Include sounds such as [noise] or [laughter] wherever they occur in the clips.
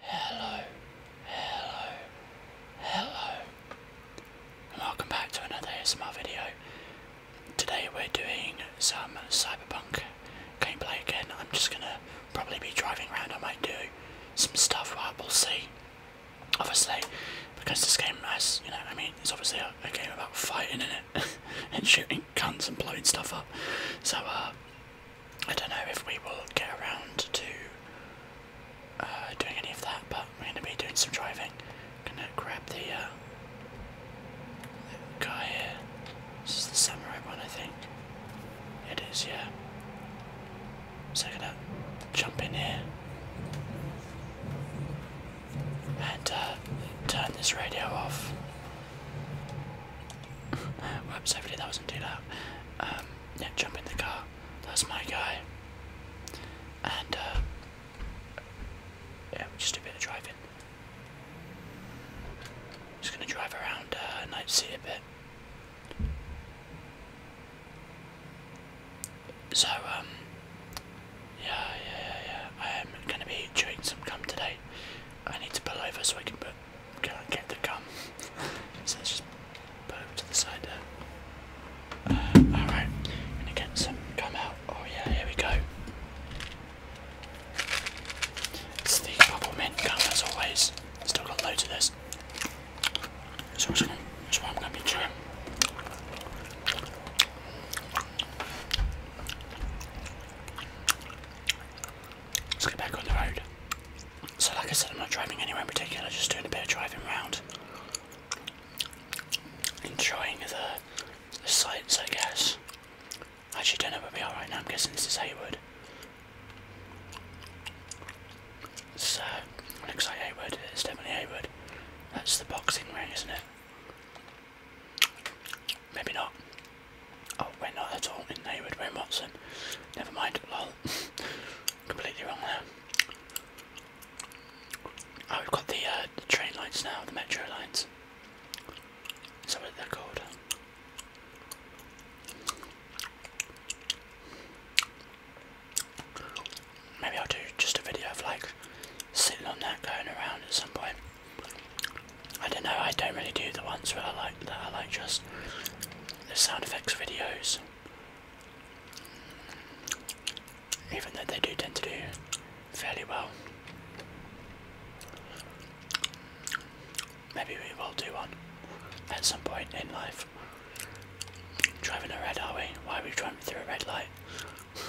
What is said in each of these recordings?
Hello, hello, hello, and welcome back to another SMR video. Today we're doing some Cyberpunk gameplay again. I'm just gonna probably be driving around. I might do some stuff. Well, we'll see. Obviously, because this game has, you know, I mean, it's obviously a, a game about fighting in it [laughs] and shooting guns and blowing stuff up. So, uh, I don't know if we will get around to uh, doing any of that, but we're going to be doing some driving. I'm going to grab the, uh, guy here. This is the samurai one, I think. It is, yeah. So I'm going to jump in here and uh, turn this radio off. [laughs] Whoops, hopefully that wasn't too loud. Um, yeah, jump in the car. That's my guy. And, uh, yeah, just do a bit of driving. Just gonna drive around uh, Night City a bit. So, um, yeah, yeah, yeah, yeah. I'm gonna be doing some come today. I need to pull over so I can put can't get to come. [laughs] so let's just put to the side there. Uh, alright, gonna get some gum out. Oh yeah, here we go. It's the bubble mint gum as always. Still got loads of this. So that's what i gonna be chewing. Let's get back on the road. So, like I said, I'm not driving anywhere in particular, just doing a bit of driving around, enjoying the, sights, I guess. I actually don't know where we are right now, I'm guessing this is Hayward. So, it looks like Hayward. it's definitely Hayward. That's the boxing ring, isn't it? Maybe not. Oh, we're not at all in Hayward, we're in Watson. Never mind, [laughs] Completely wrong there. Oh, we've got the, uh, train lines now, the metro lines. So what they called. Maybe I'll do just a video of like sitting on that going around at some point. I don't know, I don't really do the ones where I like that I like just the sound effects videos, even though they do tend to do fairly well. Maybe we will do one at some point in life. Driving a red, are we? Why are we driving through a red light? [laughs]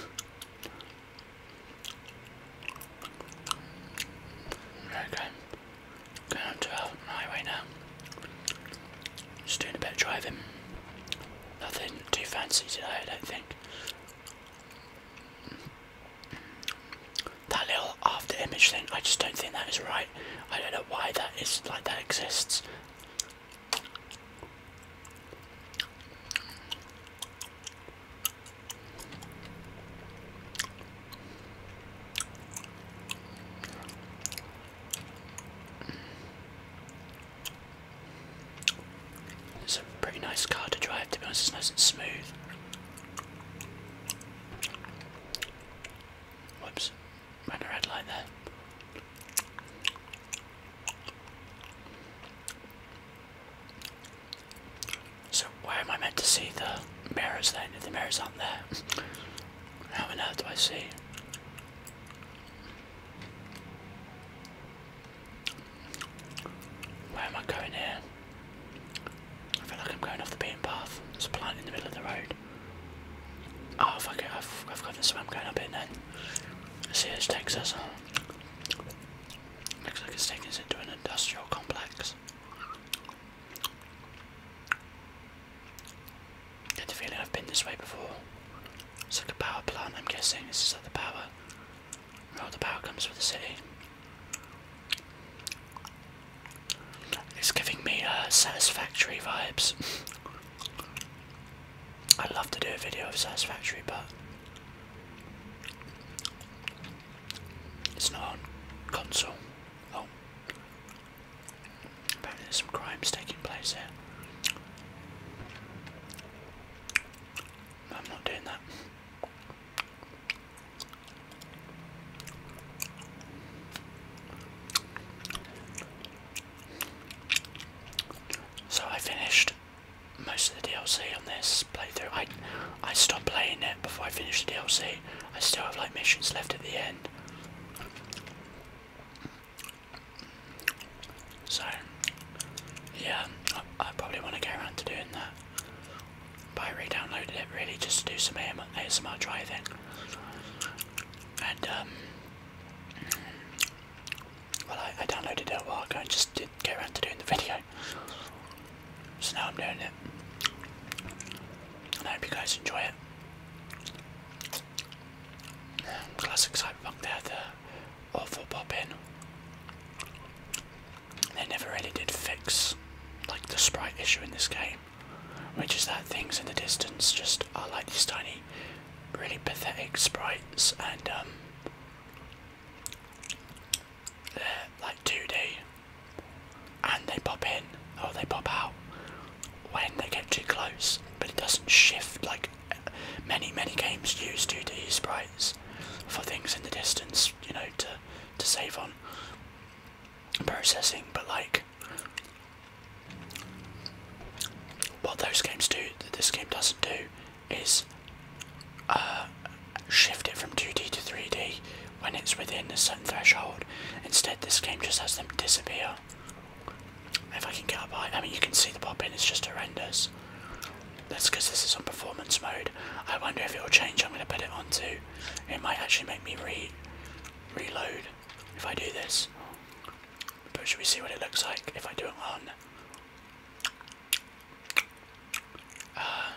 Okay, Going on to Highway now. Just doing a bit of driving. Nothing too fancy today, I don't think. That little after image thing, I just don't think that is right. I don't know why that is like that exists. It's a pretty nice car to drive to be honest, it's nice and smooth. Whoops, ran a red line there. So where am I meant to see the mirrors then if the mirrors aren't there? How on earth do I see? Where am I going here? I feel like I'm going off the beaten path. It's a plant in the middle of the road. Oh fuck it, I've, I've got this way going up in now. Let's see this takes us on. Looks like it's taking us into an industrial complex. Get the feeling I've been this way before. It's like a power plant, I'm guessing. This is like the power. Well, the power comes with the city. It's giving me uh, satisfactory vibes. [laughs] I'd love to do a video of satisfactory, but it's not on console. Oh. Apparently there's some crimes taking place there. I'm not doing that. So I finished most of the DLC on this playthrough. I I stopped playing it before I finish the DLC. I still have like missions left at the end. So, yeah, I, probably want to get around to doing that. But I re-downloaded it really just to do some A.M. ASMR driving. And, um, well, I, downloaded it a while ago and just didn't go around to doing the video. So now I'm doing it. I hope you guys enjoy it. Classic cyberpunk, they had the awful pop They never really did fix like the sprite issue in this game, which is that things in the distance just are like these tiny, really pathetic sprites, and um, they're like 2D and they pop in or oh, they pop out when they get too close, but it doesn't shift like many many games use 2D sprites for things in the distance, you know, to to save on processing. But like what those games do that this game doesn't do is uh, shift it from 2D to 3D when it's within a certain threshold. Instead, this game just has them disappear. If I can get up high, I mean, you can see the popping; it's just horrendous. That's because this is on performance mode. I wonder if it will change. I'm going to put it on too. It might actually make me re reload if I do this. But should we see what it looks like if I do it on? Uh,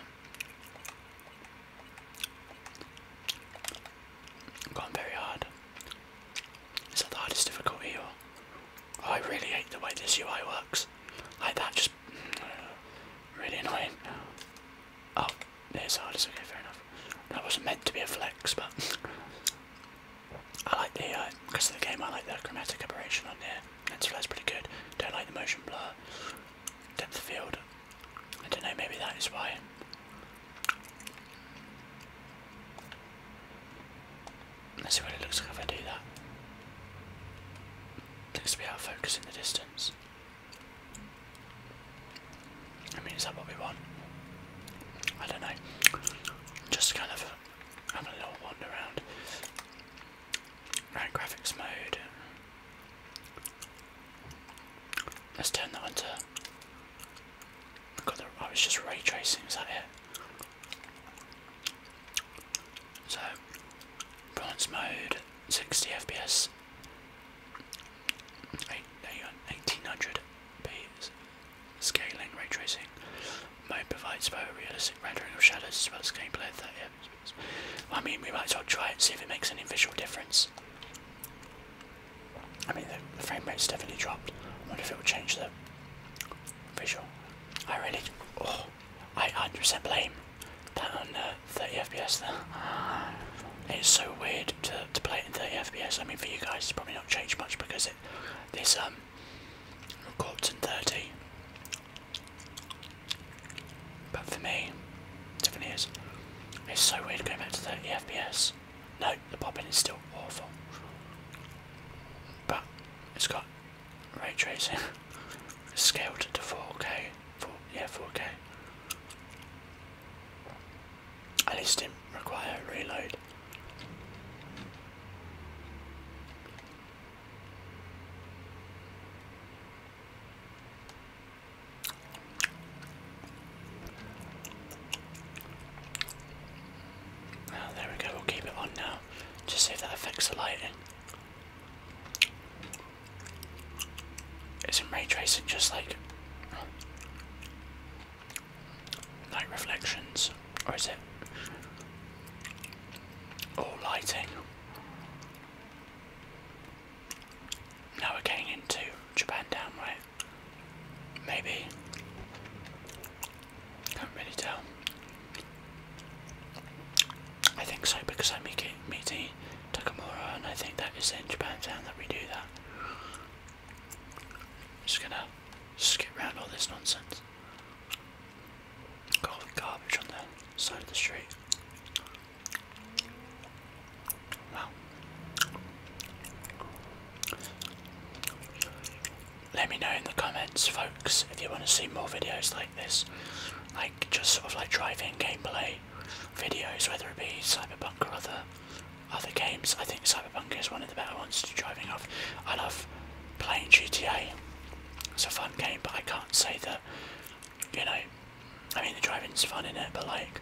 Gone very hard. Is that the hardest difficulty or? Oh, I really hate the way this UI works. Like that, just [sighs] really annoying. Oh, it's hard. It's okay, fair enough. That wasn't meant to be a flex, but [laughs] I like the uh, because of the game. I like the chromatic aberration on there. that's pretty good. Don't like the motion blur, depth of field. I don't know, maybe that is why. Let's see what it looks like if I do that. Looks to be out of focus in the distance. I mean, is that what we want? I don't know. Just kind of have a little wander around. graphics mode. Let's turn that onto. God, I was just ray tracing, is that it? So, bronze mode, 60 FPS, 8, 1800p scaling, ray tracing. Mode provides realistic rendering of shadows as well as gameplay at 30 I mean, we might as well try it, see if it makes any visual difference. I mean, the, the frame rate's definitely dropped. I wonder if it will change the visual. I really, oh, I understand percent blame that 30 FPS there. It's so weird to, to play in 30 FPS. I mean, for you guys, it's probably not changed much because it, this um, records in 30. But for me, definitely is. It's so weird going back to 30 FPS. No, the popping is still awful. But it's got ray tracing. [laughs] it's scaled to 4K. yeah, 4K. At least it did require a reload. Oh, there we go, we'll keep it on now, just see if that affects the lighting. is it ray tracing just like night reflections, or is it all lighting? Now we're getting into Japan Town, right? Maybe. Can't really tell. I think so because I am meeting Takamura and I think that is in Japan Town that we do that. Just gonna skip around all this nonsense. all the garbage on the side of the street. Wow. Let me know in the comments, folks, if you want to see more videos like this, like just sort of like drive-in gameplay videos, whether it be Cyberpunk or other other games. I think Cyberpunk is one of the better ones to driving off. I love playing GTA. It's a fun game, but I can't say that you know, I mean the driving's fun in it, but like,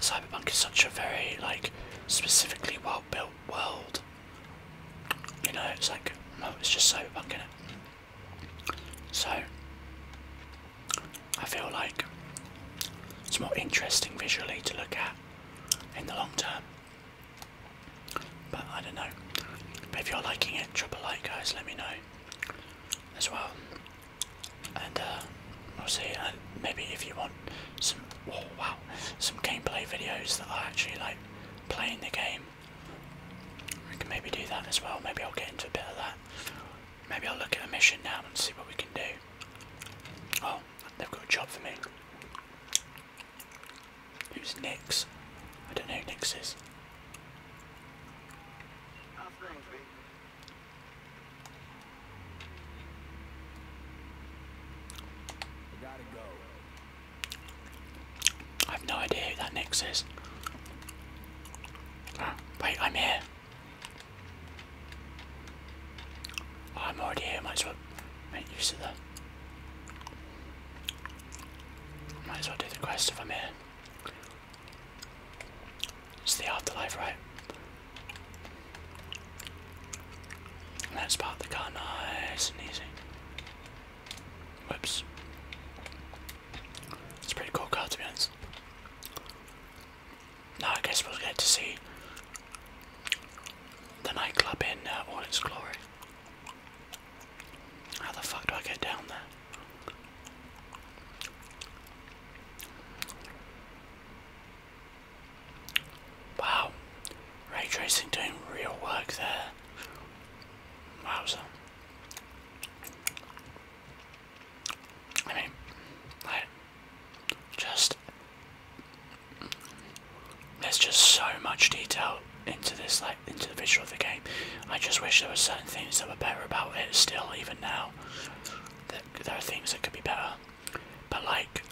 Cyberpunk is such a very like specifically well built world. You know, it's like, well, oh, it's just Cyberpunk in it. So, I feel like it's more interesting visually to look at in the long term. But I don't know. But if you're liking it, drop a like, guys. Let me know as well and we'll uh, see. Uh, maybe if you want some wow, some gameplay videos that I actually like playing the game, we can maybe do that as well. Maybe I'll get into a bit of that. Maybe I'll look at a mission now and see what we can do. Oh, they've got a job for me. Who's Nix? I don't know who Nix is. I have no idea who that Nix is. Oh, wait, I'm here. Oh, I'm already here, might as well make use of the... Might as well do the quest if I'm here. It's the afterlife, right? And let's park the car nice and easy. Whoops. It's a pretty cool car to be honest. Now I guess we'll get to see the nightclub in uh, all its glory. How the fuck do I get down there? Wow, ray tracing doing real work there. Wowza. I mean, just, there's just so much detail into this, like, into the visual of the game. I just wish there were certain things that were better about it still, even now. there are things that could be better. But like,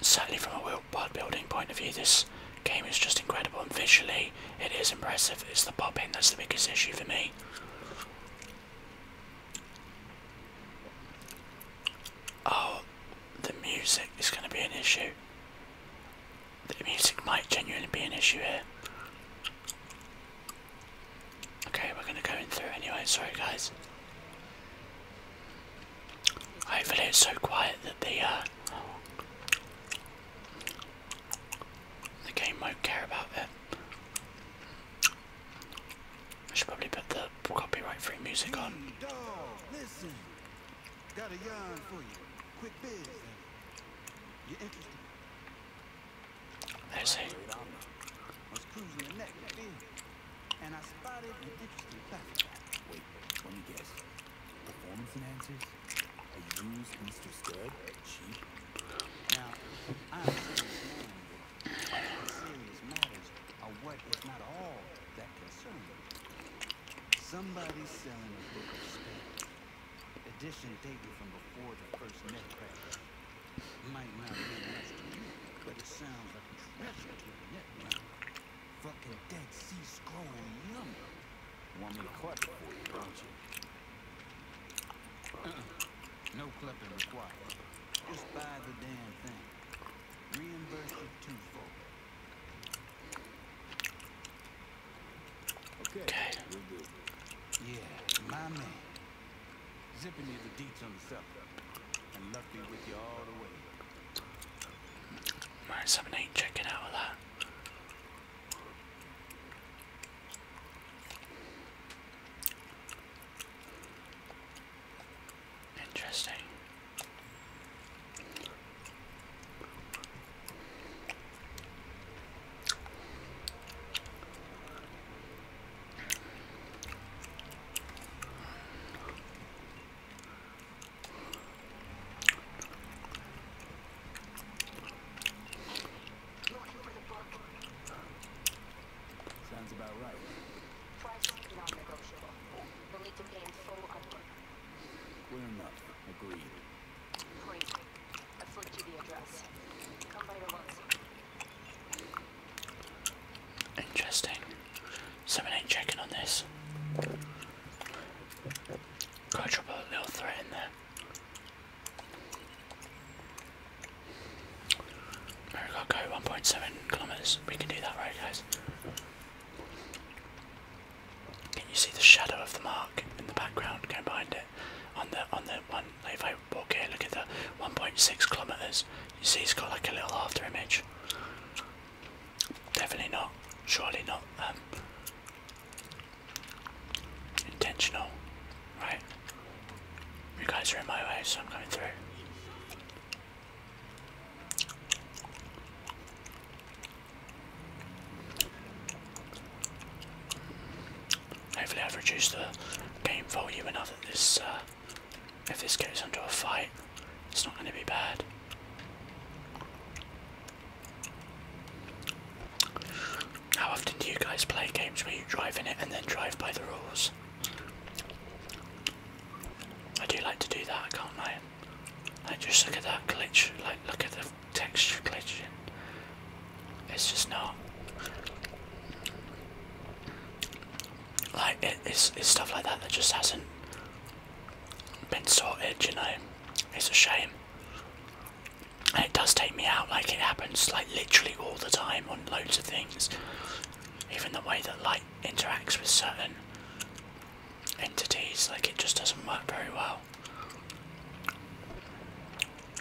certainly from a world building point of view, this game is just incredible. And visually, it is impressive. It's the popping that's the biggest issue for me. Oh, the music is going to be an issue. The music might genuinely be an issue here. Okay, we're gonna go in through anyway, sorry guys. Hopefully it's so quiet that the uh, the game won't care about it. I should probably put the copyright free music on. Dog, listen. Got a yarn for you. Quick biz. There's it. And I spotted an interesting platform. Wait, let me guess. Performance enhancers? A used Mr. Stud? Cheap? Now, I'm a serious man, but serious matters are what is not all that concern me. Somebody's selling a book of spells. Edition dated from before the first net crash. Might not be much to you, but it sounds like treasure to the net now. Fucking Dead Sea Scroll number. Want me to clutch it for you, don't you? Uh-uh. No clipping required. Just buy the damn thing. Reimburse it twofold. Okay. okay. Yeah, my man. Zipping you the deets on the cell. And Luffy with you all the way. out of Interesting. Sounds about right. Price non-negotiable. We'll need to pay in full upward. Clear enough. Agreed. Great. I've flipped you the address. Come by your lunch. Interesting. Someone ain't checking on this. got a little threat in there. There 1.7 kilometers. We can do that, right, guys? Can you see the shadow of the mark in the background going behind it on the on the one, 195 okay look at the 1.6 kilometers you see it's got like a little after image definitely not surely not um, intentional right you guys are in my way so I'm going through Hopefully, I've reduced the game volume enough that this, uh, if this goes into a fight, it's not going to be bad. How often do you guys play games where you drive in it and then drive by the rules? I do like to do that, can't I? I just look at that glitch, like look at the texture glitching. It's just not like it's it's stuff like that that just hasn't been sorted. You know, it's a shame, and it does take me out. Like it happens like literally all the time on loads of things. Even the way that light interacts with certain entities, like it just doesn't work very well.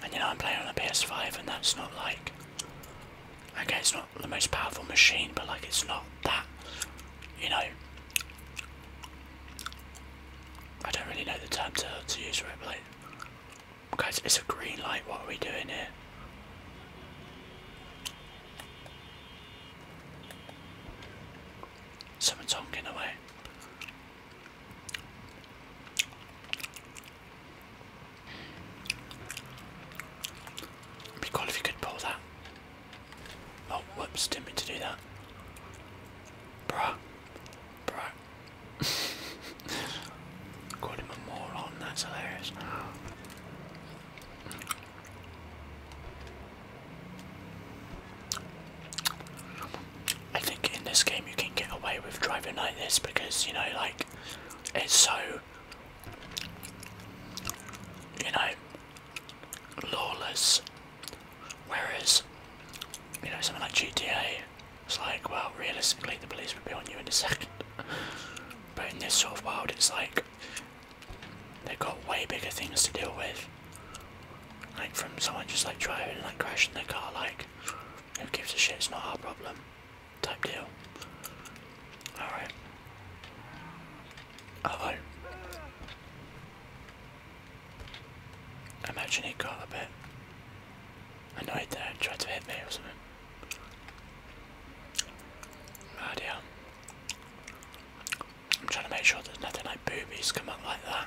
And you know, I'm playing on a PS5, and that's not like. Okay, it's not the most powerful machine, but like, it's not that. You know. I don't really know the term to, to use for it, but Guys, it's a green light, what are we doing here? Someone's honking away be cool if you could pull that. Oh, whoops, didn't mean to do that. Bruh. Bruh. [laughs] Called him a that's hilarious. I think in this game you can get away with driving like this because you know like it's so you know lawless whereas you know something like GTA it's like well realistically the police would be on you in a second but in this sort of world it's like they've got way bigger things to deal with like from someone just like driving and like crashing their car like back. Who gives a shit? It's not our problem. Type deal. Alright. Uh Imagine he got a bit annoyed there and tried to hit me or something. Oh dear. I'm trying to make sure there's nothing like boobies come up like that.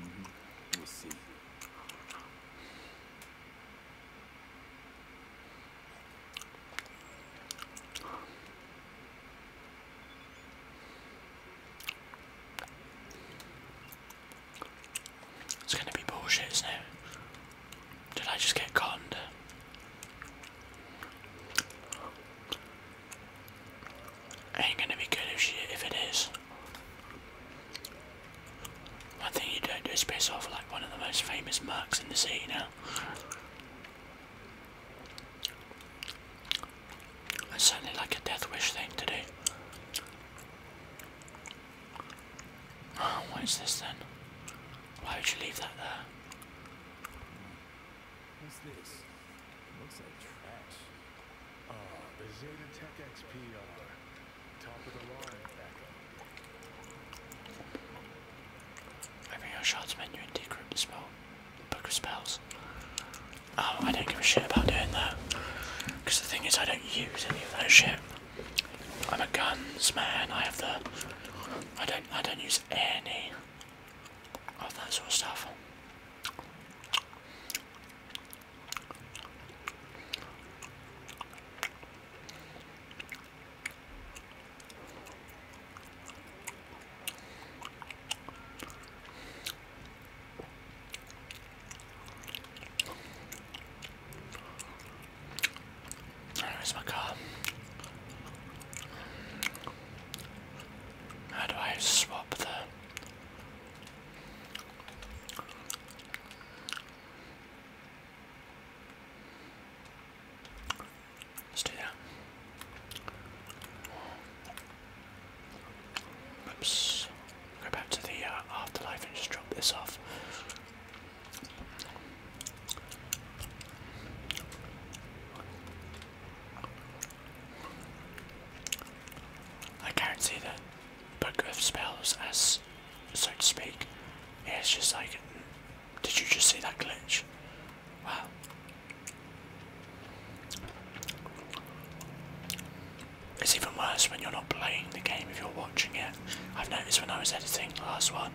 Mm -hmm. see. It's gonna be bullshit, isn't it? Did I just get conned? Ain't gonna be good if, shit if it is. One thing you don't do is piss off like one of the most famous mercs in the city now. It's certainly like a death wish thing to do. what is this then? Why would you leave that there? What's this? Looks like trash. Oh, the Zeta Tech XPR. Top of the line backup. Open your shards menu and decrypt the spell. Book of spells. Oh, I don't give a shit about doing that. Because the thing is, I don't use any of that shit. I'm a guns man. I have the. I don't. I don't use any of that sort of stuff. Where's my car? How do I swap the Let's do that. Oops. Go back to the uh, afterlife and just drop this off. I can't say that book of spells as so to speak. it's just like did you just see that glitch? Wow. It's even worse when you're not playing the game if you're watching it. I've noticed when I was editing last one,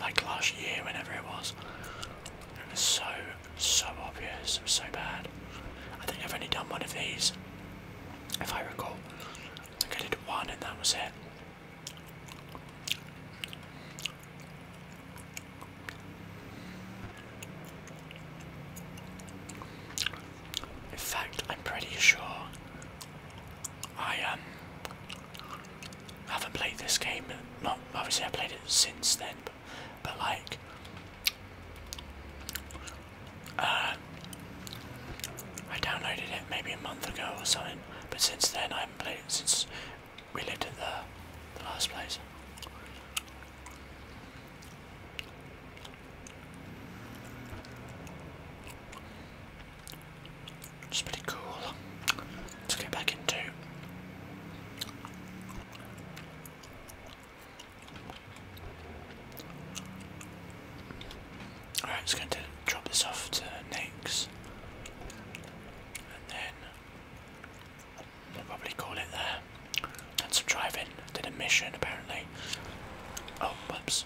like last year, whenever it was, it was so so obvious, so bad. I think I've only done one of these, if I recall. I think I did one and that was it. In fact, I'm pretty sure I um haven't played this game. Not obviously I played it since then, but like, uh, I downloaded it maybe a month ago or something. But since then, I haven't played it since we lived at the, the last place. It's pretty cool. Let's get back into. Alright, it's going to drop this off to Nick's. And then we'll probably call it there. And some driving, did a mission apparently. Oh, whoops.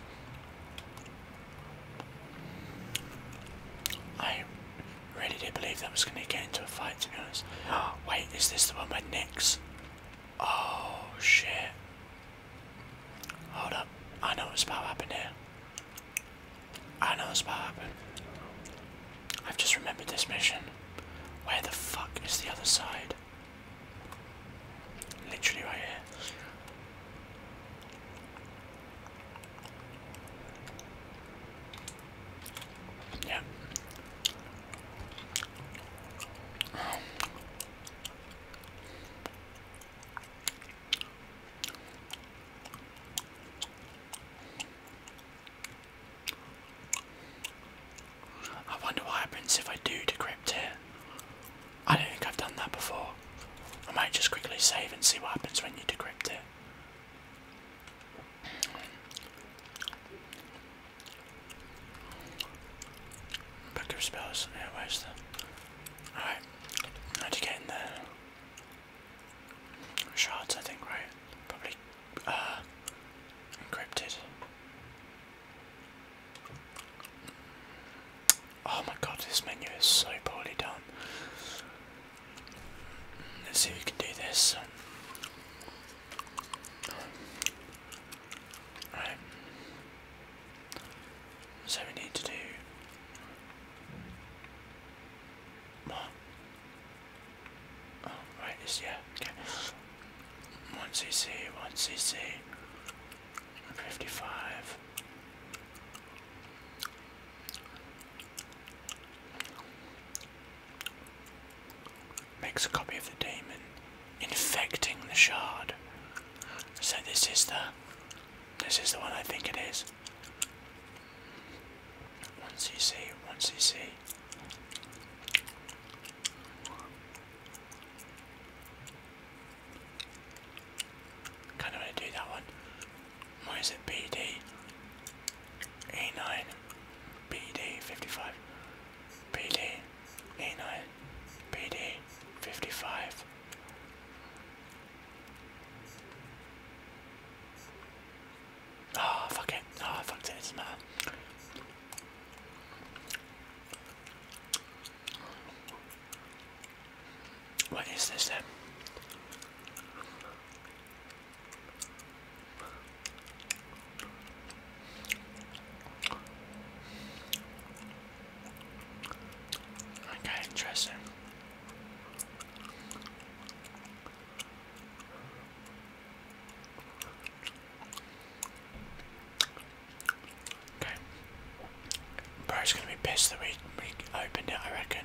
I really did believe that was going to get into a fight to be honest. Oh, [gasps] wait, is this the one with Nick? Oh shit. Hold up. I know what's about to happen here. I know what's about to happen. I've just remembered this mission. Where the fuck is the other side? Literally right here. Yeah. I wonder what happens if I do decrypt it. I don't think I've done that before. I might just quickly save and see what happens when you decrypt it. Book of spells. Yeah, where's the. Alright. How'd you get in there? Shards, I think, right? Probably. Uh, encrypted. Oh my god, this menu is so poorly done. Let's see if we can do this. Right. So we need to do Oh, right, yeah, okay. One CC, one CC, fifty-five. Makes a copy of the daemon, infecting the shard. So this is the this is the one I think it is. One CC, one CC. Kind of want to do that one. Why is it BD? A9, BD 55, BD, A9, BD 55. Ah, oh, fuck it. Ah, oh, fuck it. It doesn't matter. What is this then? Okay, interesting. Okay. Bro's gonna be pissed that we, we opened it, I reckon.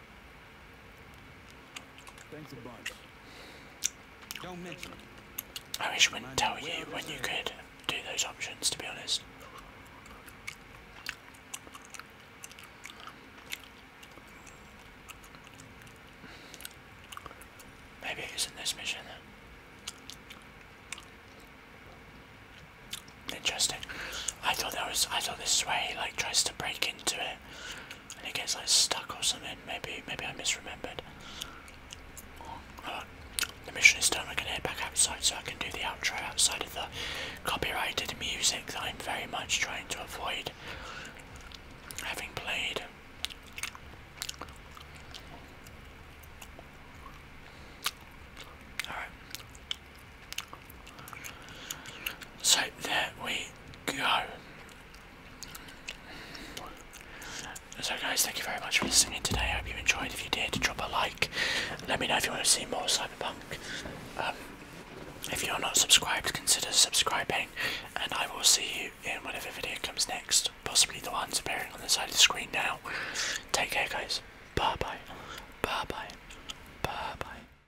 Thanks a bunch. I wish we would tell you when you could do those options, to be honest. Maybe it isn't this mission. Interesting. I thought that was I thought this way he like tries to break into it and it gets like stuck or something. Maybe maybe I misremembered. the mission is done. I can head back outside so I can do the outro outside of the copyrighted music that I'm very much trying to avoid having played. Alright. So there we go. So guys, thank you very much for listening today. I hope you enjoyed. If you did, drop a like. Let me know if you want to see more Cyberpunk. Um, if you're not subscribed, consider subscribing, and I will see you in whatever video comes next. Possibly the ones appearing on the side of the screen now. Take care, guys. Bye bye. Bye bye. Bye bye.